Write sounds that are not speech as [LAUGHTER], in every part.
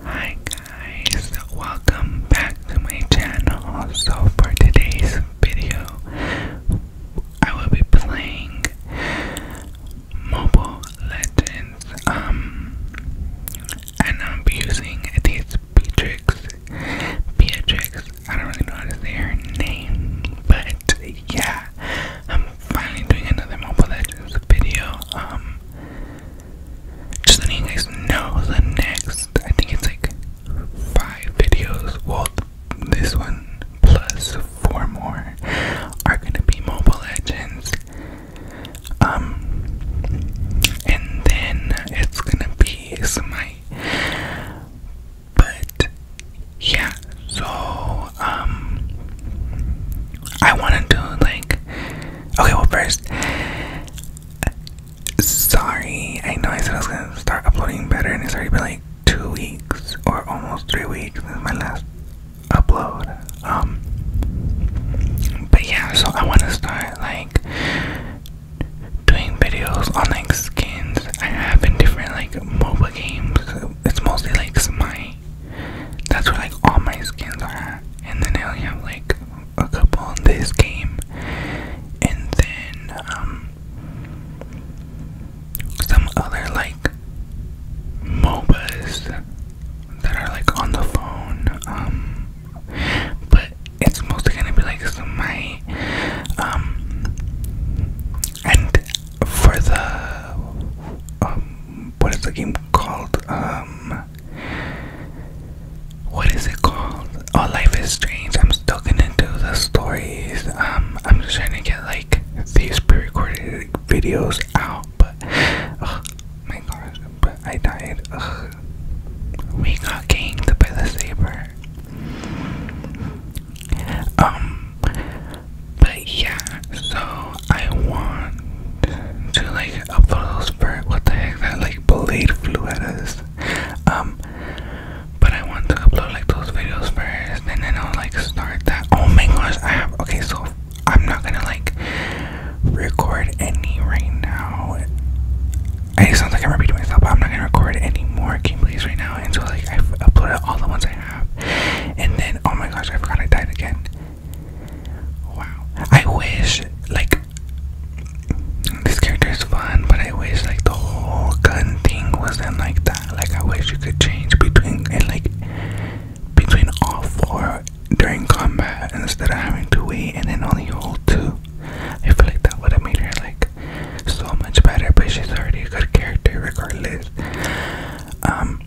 Hi guys, welcome back to my channel. So for today's video, I will be playing Mobile Legends. Um, and I'll be using these Beatrix Beatrix. I don't really know how to say her name, but yeah, I'm finally doing another Mobile Legends video. Um, just letting you guys know the next, I think it's like five videos. Well, this one plus four more are gonna be Mobile Legends. Um, and then it's gonna be ASMR. But yeah, so um, I wanted to like. Okay, well first, sorry. I know I said I was gonna start uploading better, and it's already been like two weeks or almost three weeks since my last upload. Um, but yeah, so I want to start like doing videos on like skins I have in different like mobile games. It's mostly like Smite. That's where like all my skins are at. And then I only have like a couple on this game. And then um some other like MOBAs that are like on the phone. Um but it's mostly gonna be like some my um and for the um what is the game called um what is it called oh life is strange i'm still gonna do the stories um i'm just trying to get like these pre-recorded videos out but my gosh, but I died. We got ganked by the saber. Um, but yeah, so I want to like upload those for what the heck that like blade flew at Um, but I want to upload like those videos first and then I'll like start that. Oh my gosh, I have okay, so I'm not gonna like record any right now. It sounds like I'm repeating myself, but I'm not gonna record any more gameplays right now until like I've uploaded all the ones I have. And then, oh my gosh, I forgot I died again. Wow. I wish like this character is fun, but I wish like the whole gun thing wasn't like that. Like I wish you could change between and like between all four during combat instead of having to wait and then only hold two. I feel like that would have made her like so much better, but she's already a good character regardless. Um,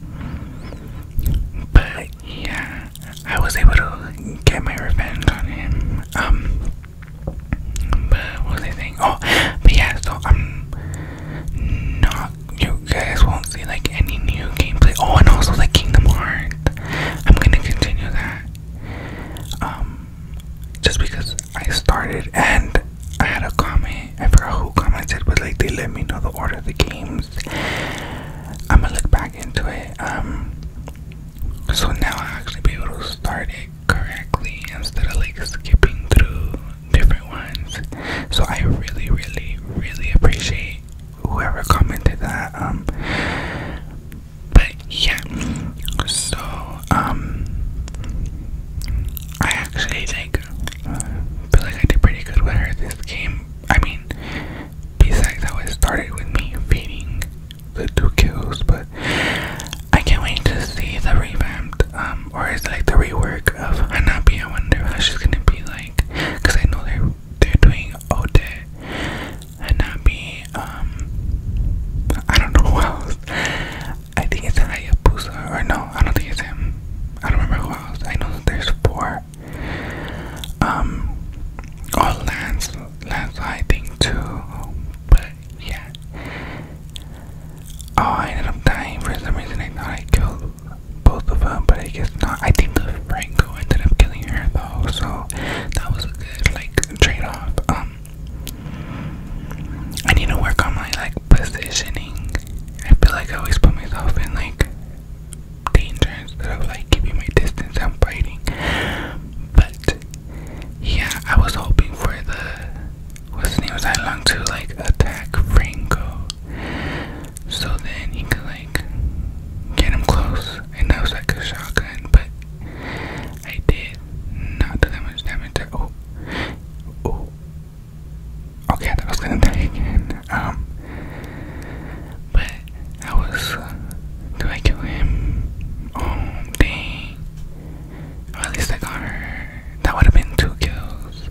but yeah, I was able to get my revenge on him. Um, but what was I saying? Oh, but yeah, so I'm not, you guys won't see like any new gameplay. Oh, and also like Kingdom Hearts. I'm gonna continue that. Um, just because I started and I had a comment, I forgot who commented, but like they let me know the order of the games. I'm gonna look back into it. Um, so now I'll actually be able to start it correctly instead of like skipping through different ones. So I really, really, really appreciate whoever commented that. Um, but yeah, so um, I actually like uh, feel like I did pretty good with her this game. I mean, besides how it started with me feeding the two kills, but I can't wait to see the revamped um, or is it like the rework of Hanabi. I wonder she's gonna be like, cause I know they they're doing Ode Hanabi, um, I don't know [LAUGHS] who else. I think it's Hayabusa, or no, I don't think it's him. I don't remember who else. I know that there's four. Um, oh, Lance, Lance, I think too, but yeah. Oh, I ended up dying for some reason. I thought I killed both of them, but I guess not. I think Franco ended up killing her though, so that was a good like trade off. Um, I need to work on my like positioning. I feel like I always put myself in like danger instead of like keeping my distance and fighting. But yeah, I was hoping for the what's name was that long to like attack Franco. So then he could like get him close, and that was like a shotgun. But I did not do that much damage. To, oh, oh. Okay, I was gonna die again. Um, but I was. Uh, do I kill him? Oh dang! at least I got her. That would have been two kills.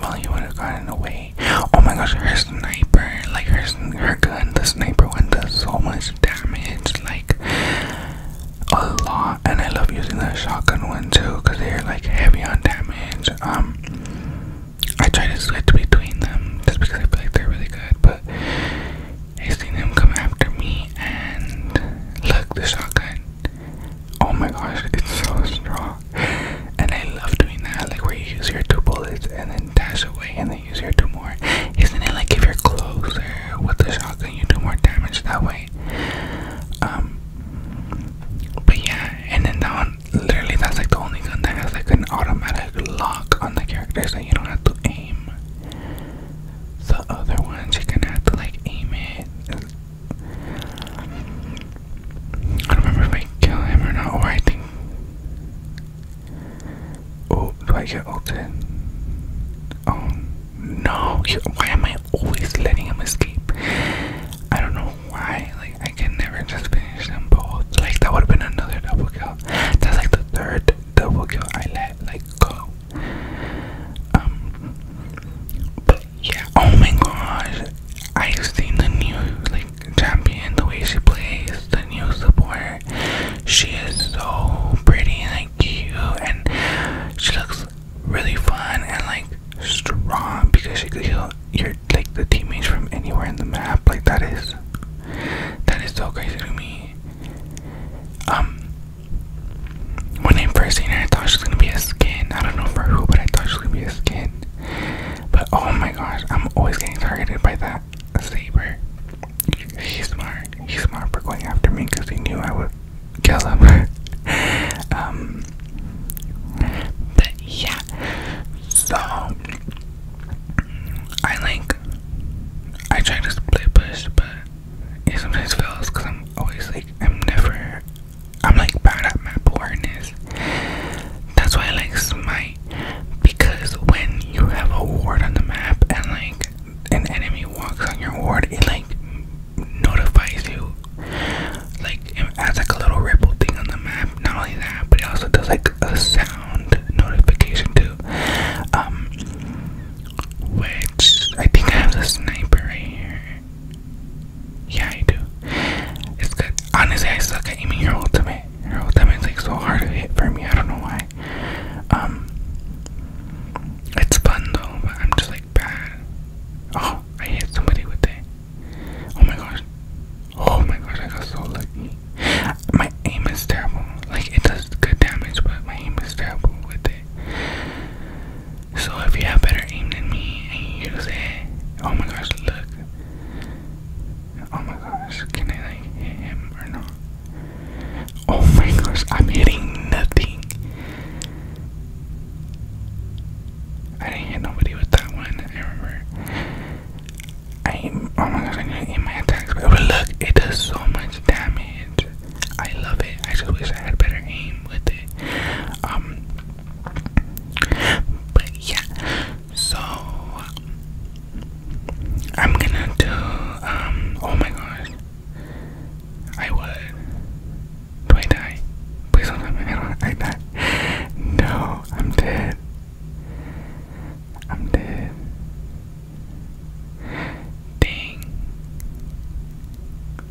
Well, you would have gotten away. Oh my gosh, her sniper, like her, her gun, the sniper one does so much damage, like a lot. And I love using the shotgun one too, cause they're like heavy on damage. Um, I try to switch between them just because I feel like they're really good. But I seen him come after me, and look, the shotgun. Oh my gosh, it's so strong. And I love doing that, like where you use your two bullets and then dash away and then use your two more. Isn't it like if you're closer with the shotgun, you do more damage that way? Um, but yeah, and then that one, literally, that's like the only gun that has like an automatic lock on the characters that you don't have to aim. The other ones, you can have to like aim it I don't remember if I kill him or not, or I think. Oh, do I get ulted? Oh no, why am I always letting him escape? I don't know why, like, I can never just finish them both. Like, that would have been another double kill. That's like the third double kill I let, like, go. Um, yeah, oh my gosh. I've seen the new like champion, the way she plays, the new support. She is so pretty and cute and she looks really fun and like strong because she could heal your like the teammates from anywhere in the map. Like that is that is so crazy to me. Um when I first seen her I thought she was gonna be a skin. I don't know for who but I thought she was gonna be a skin. But oh my gosh, I'm always getting targeted by that saber. He's smart. He's smart for going after me because he knew I would kill him. [LAUGHS] um, but yeah, so I like I try to split push, but it sometimes fails because I'm always like I'm never I'm like bad at map awareness. That's why I like Smite because when you have a ward on the map and like an enemy walks on your ward, it like notifies you like it adds like a little ripple thing on the map. Not only that, but it also does like a sound notification too. Um which I think I have the sniper right here. Yeah, I do. It's good. Honestly, I suck at aiming your ultimate. Your ultimate's like so hard to hit for me. I don't know why. Um, it's fun though, but I'm just like bad. Oh, I hit somebody with it. Oh my gosh. Oh my gosh, I got so lucky. My aim is terrible. Like, it does good damage, but my aim is terrible with it. So if you have better aim than me and use it, oh my gosh, look. Oh my gosh, can I like hit him or not? Oh my gosh, I'm hitting nothing. I didn't hit nobody with that one, I remember. I oh my gosh, I need to aim my attacks, but look, it does so much damage. I love it. I just wish I had better aim with it. Um, but yeah, so I'm gonna do, um, oh my gosh, I would. Do I die? Please don't let me know I die. No, I'm dead. I'm dead. Dang.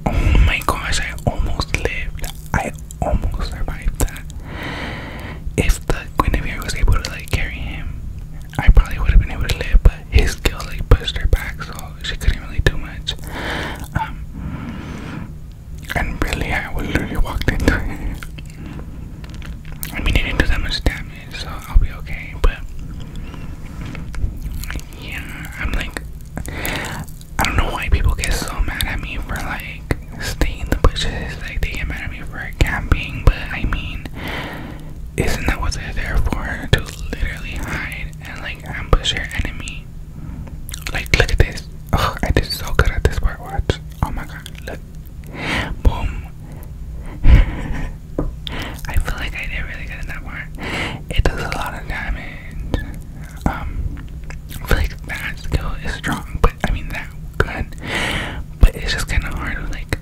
Oh my gosh, I almost lived. I almost survived that. If the Guinevere was able to like carry him, I probably would have been able to live, but his skill like pushed her back so she couldn't really do much. Um and really I would literally walked into I mean it didn't do that much damage, so I'll be okay, but yeah, I'm like I don't know why people get so mad at me for like staying in the bushes. Like they get mad at me for camping, but I mean, isn't that what they're there for? To literally hide and like ambush your enemy. Like look at this. I did so good at this part. Watch. Oh my god. Look. Boom. [LAUGHS] I feel like I did really good in that part it does a lot of damage. Um, I feel like that skill is strong, but I mean that good. But it's just kind of hard to like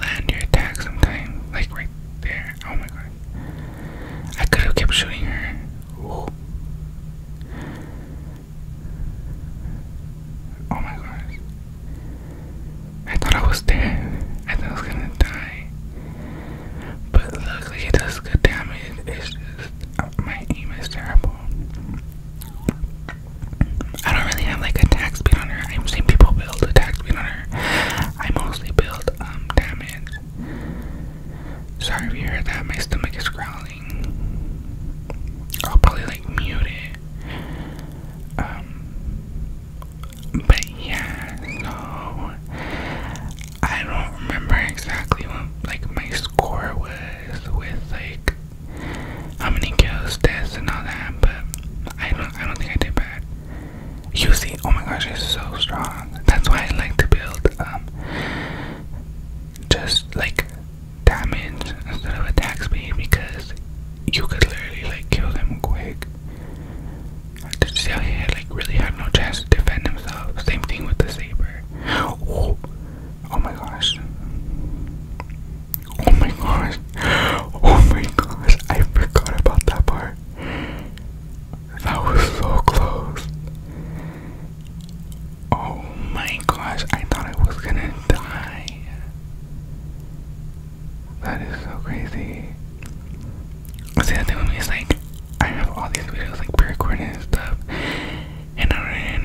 land your attack sometimes, like right there. Oh my god, I could have kept shooting her. Oh my gosh. I thought I was dead. I thought I was gonna die. But luckily it does good damage. It's just uh, my aim is terrible. I don't really have like attack speed on her. I've seen people build attack speed on her. I mostly build um damage. Sorry if you heard that. My stomach is growling. I'll probably like mute it. Um, but yeah, so I don't remember exactly what like my score was with like how many kills, deaths, and all that. But I don't, I don't think I did bad. You see, oh my gosh, it's so strong. That's why I like to build um just like damage instead of attack speed because you could literally like kill them quick see how Cecilia like really had no chance to defend himself. Same thing with the saber. Oh, oh my gosh. Oh my gosh. Oh my gosh. I forgot about that part. That was so close. Oh my gosh. I thought I was gonna die. That is so crazy. See, the thing with me is like, I have all these videos like pre and stuff, and I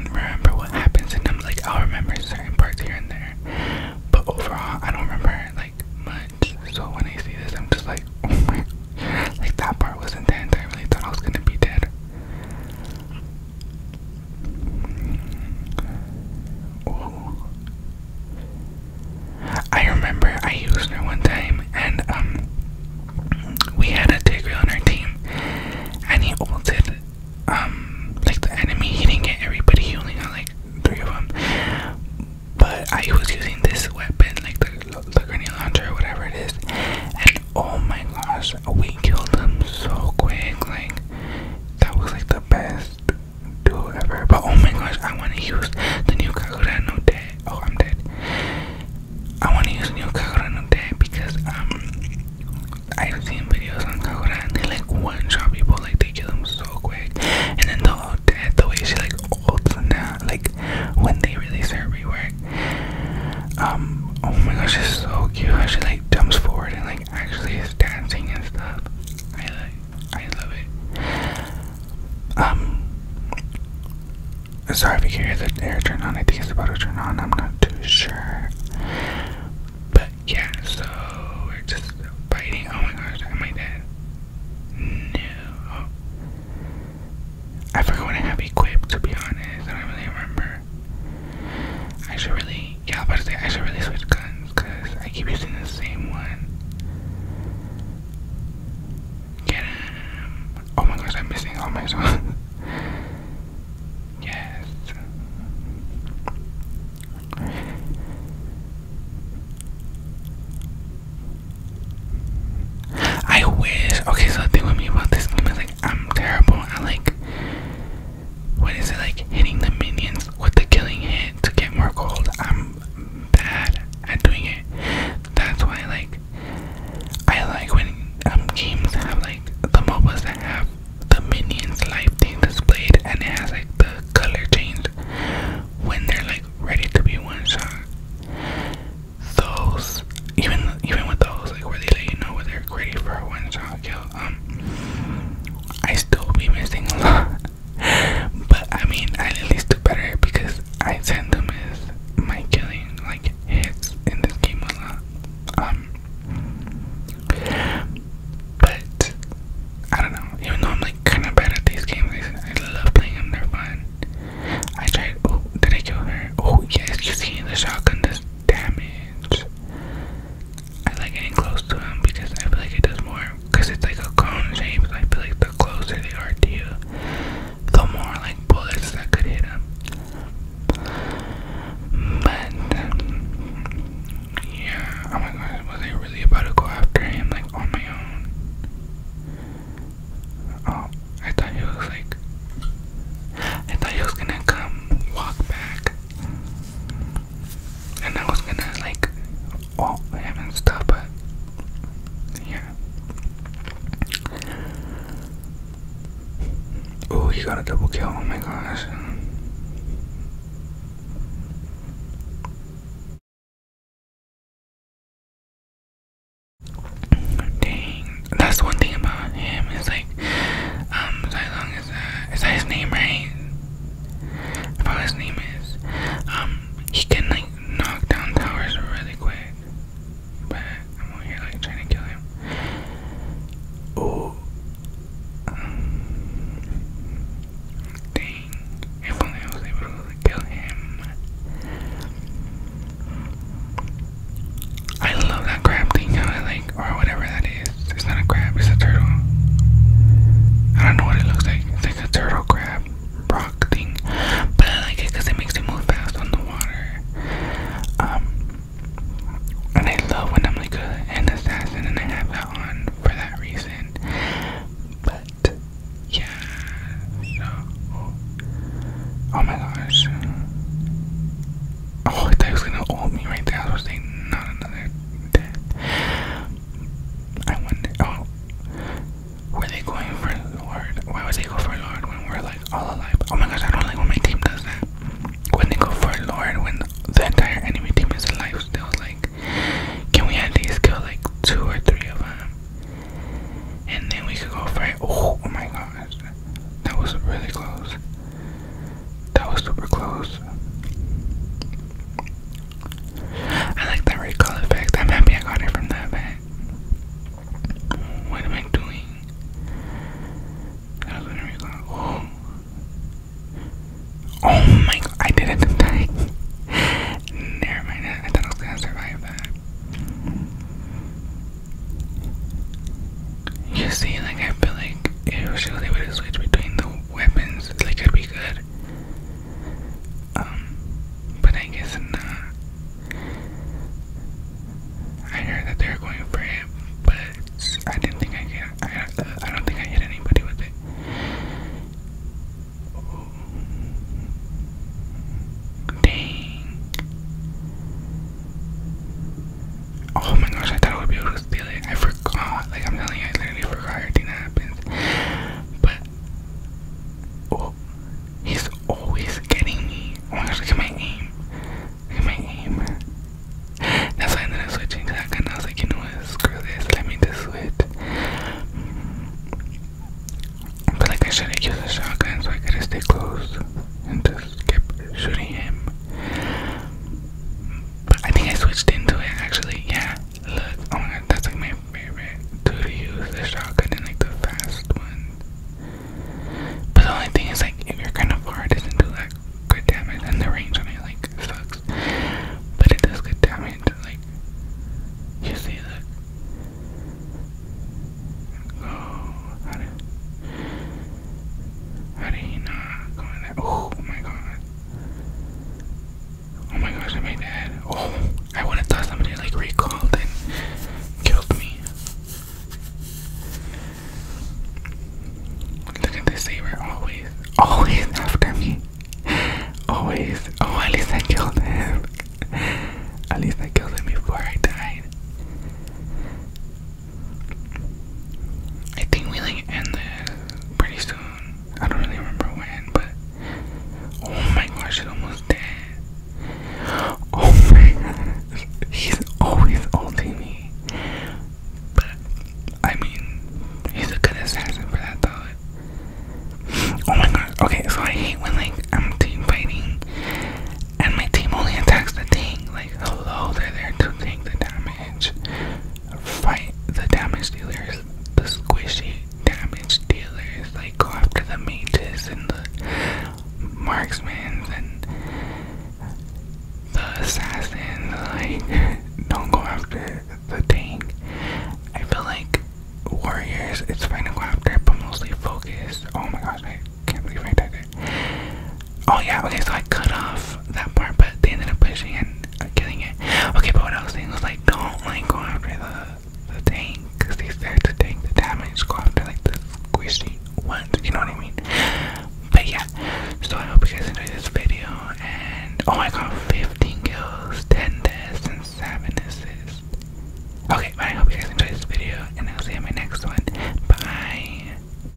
don't remember what happens in them. Like, I'll remember certain parts here and there, but overall, I don't remember like much. So when I see this, I'm just like, [LAUGHS] oh my, like that part was intense. I really thought I was gonna be dead. I remember I used her one time, and um, we had a tigre on our team, and he ulted, um, like the enemy. He didn't get everybody; he only got like three of them. But I was using this weapon, like the, the grenade launcher or whatever it is, and oh my gosh, we killed him so quick. Like that was like the best do it But oh my gosh, I want to use the new Kagura no Te. Oh, I'm dead. I want to use the new Kagura no Te because um, I've seen videos on Kagura and they like one shot people, like they kill them so quick. And then the old dead, the way she like olds and that, like when they release her rework. Um, oh my gosh, she's so cute how she like jumps forward and like actually is dancing and stuff. I like I love it. Um, sorry if you can not hear the air turn on. I think it's about to turn on. I'm not too sure. But yeah, so we're just biting. Oh my gosh, am I dead? No. I forgot what I have equipped, to be honest. I don't really remember. I should really, yeah, I I should really switch guns because I keep using the same one. Get him. Oh my gosh, I'm missing all my songs. [LAUGHS] yes. I wish. Okay, so the thing with me about this game is like I'm terrible I like what is it like hitting the minions with the killing hit to get more gold. I'm bad at doing it. That's why like I like when um games have like the MOBAs that have the minions life thing displayed and it has like the color change when they're like ready to be one shot. Those even even with those like where they let you know where they're ready for a one shot kill, um I still be missing a lot but I mean, I at least do better because I send them as my killing like hits in this game a lot. Um, but I don't know. Even though I'm like kind of bad at these games, I, love playing them. They're I tried. Oh, did I kill her? Oh yes, you see the shotgun does damage. I like getting close to him because I feel like it does more because it's like a cone shape. I feel like the closer they are to you, the more like bullets that could hit them. But yeah, oh my gosh, was I really about to go after him like on my own? Oh, I thought he was like, I thought he was gonna come walk back and I was gonna like oh him and stuff but yeah oh he got a double kill oh my gosh Dang, that's one thing about him is like, um, uh, is that his name, right? about his name is. Um, he can like knock down towers really quick, but I'm over here like trying to kill him. Oh, um, If only I was able to kill him. I love that grab thing, how it like, or whatever that is. It's not a crab, it's a turtle. I don't know what it looks like. It's like a turtle crab rock thing. But I like it because it makes it move fast on the water. Um, and I love when I'm like an assassin and I have that on for that reason. But, yeah. oh, my gosh. Oh, I thought he was gonna hold me right there. was saying, not another death. I wonder. Oh, were they going for Lord? Why would they go for Lord when we're like all alive? Oh my gosh, I don't like when my team does that. When they go for Lord, when the entire enemy team is alive still, like, can we at least kill like two or three of them? And then we could go for it. oh my gosh, that was really close. That was super close. I like that recall effect. I'm happy I got it from that event. What am I doing? That was when I Oh. oh my god, I didn't [LAUGHS] Never mind, I thought I was gonna survive that. You see, like I feel like if she was to switch between the weapons, they could be good. Um, but I guess not. I heard that they were going for it, but I didn't think I can. Uh, I, don't think I hit anybody with it. Dang. Oh my gosh, I thought I would be able to steal it. I forgot. Like, I'm telling you, I literally forgot everything that happens. But, oh, he's always getting me. Oh my gosh, look at my aim. get at my aim. That's why I ended up switching to that gun. I was like, you know what, screw this. Let me just switch. But, like, I should have used a shotgun so I gotta stay close and just keep shooting him. But I think I switched into it actually. Yeah, look. Oh my god, that's like my favorite tool to use the shotgun and like the fast one. But the only thing is like if you're kind of far, it doesn't do like good damage, and the range on it like sucks. But it does good damage. Like you see, look. Oh, how did how not go there? Oh my god. Oh my gosh, I made that. Oh, I would have thought somebody like recalled and killed me. Look at this saber, always, always after me. Always. Oh, at least I killed him. At least I killed him before I died. I think we like end this pretty soon. I don't really remember when, but oh my gosh, it's almost dead. Oh my gosh, he's always ulting me. But I mean, he's a good assassin for that though. Oh my gosh. Okay, so I hate when like I'm team fighting and my team only attacks the thing. Like, hello, they're there to take the damage fight the damage dealers, the squishy damage dealers, They go after the mages and the marksmen and the assassins, like [LAUGHS] don't go after the tank. I feel like warriors, it's fine to go after, but mostly focus. Oh my gosh, I can't believe I did that. Oh yeah, okay, so I cut off that part, but they ended up pushing and uh, killing it. Okay, but what I was saying was like, don't like go after the the tank, cause they start to take the damage. Go after like the squishy ones, you know what I mean? But yeah, so I hope you guys enjoy this video. And oh, I got 15 kills, 10 deaths, and 7 assists. Okay, but I hope you guys enjoy this video, and I'll see you in my next one. Bye.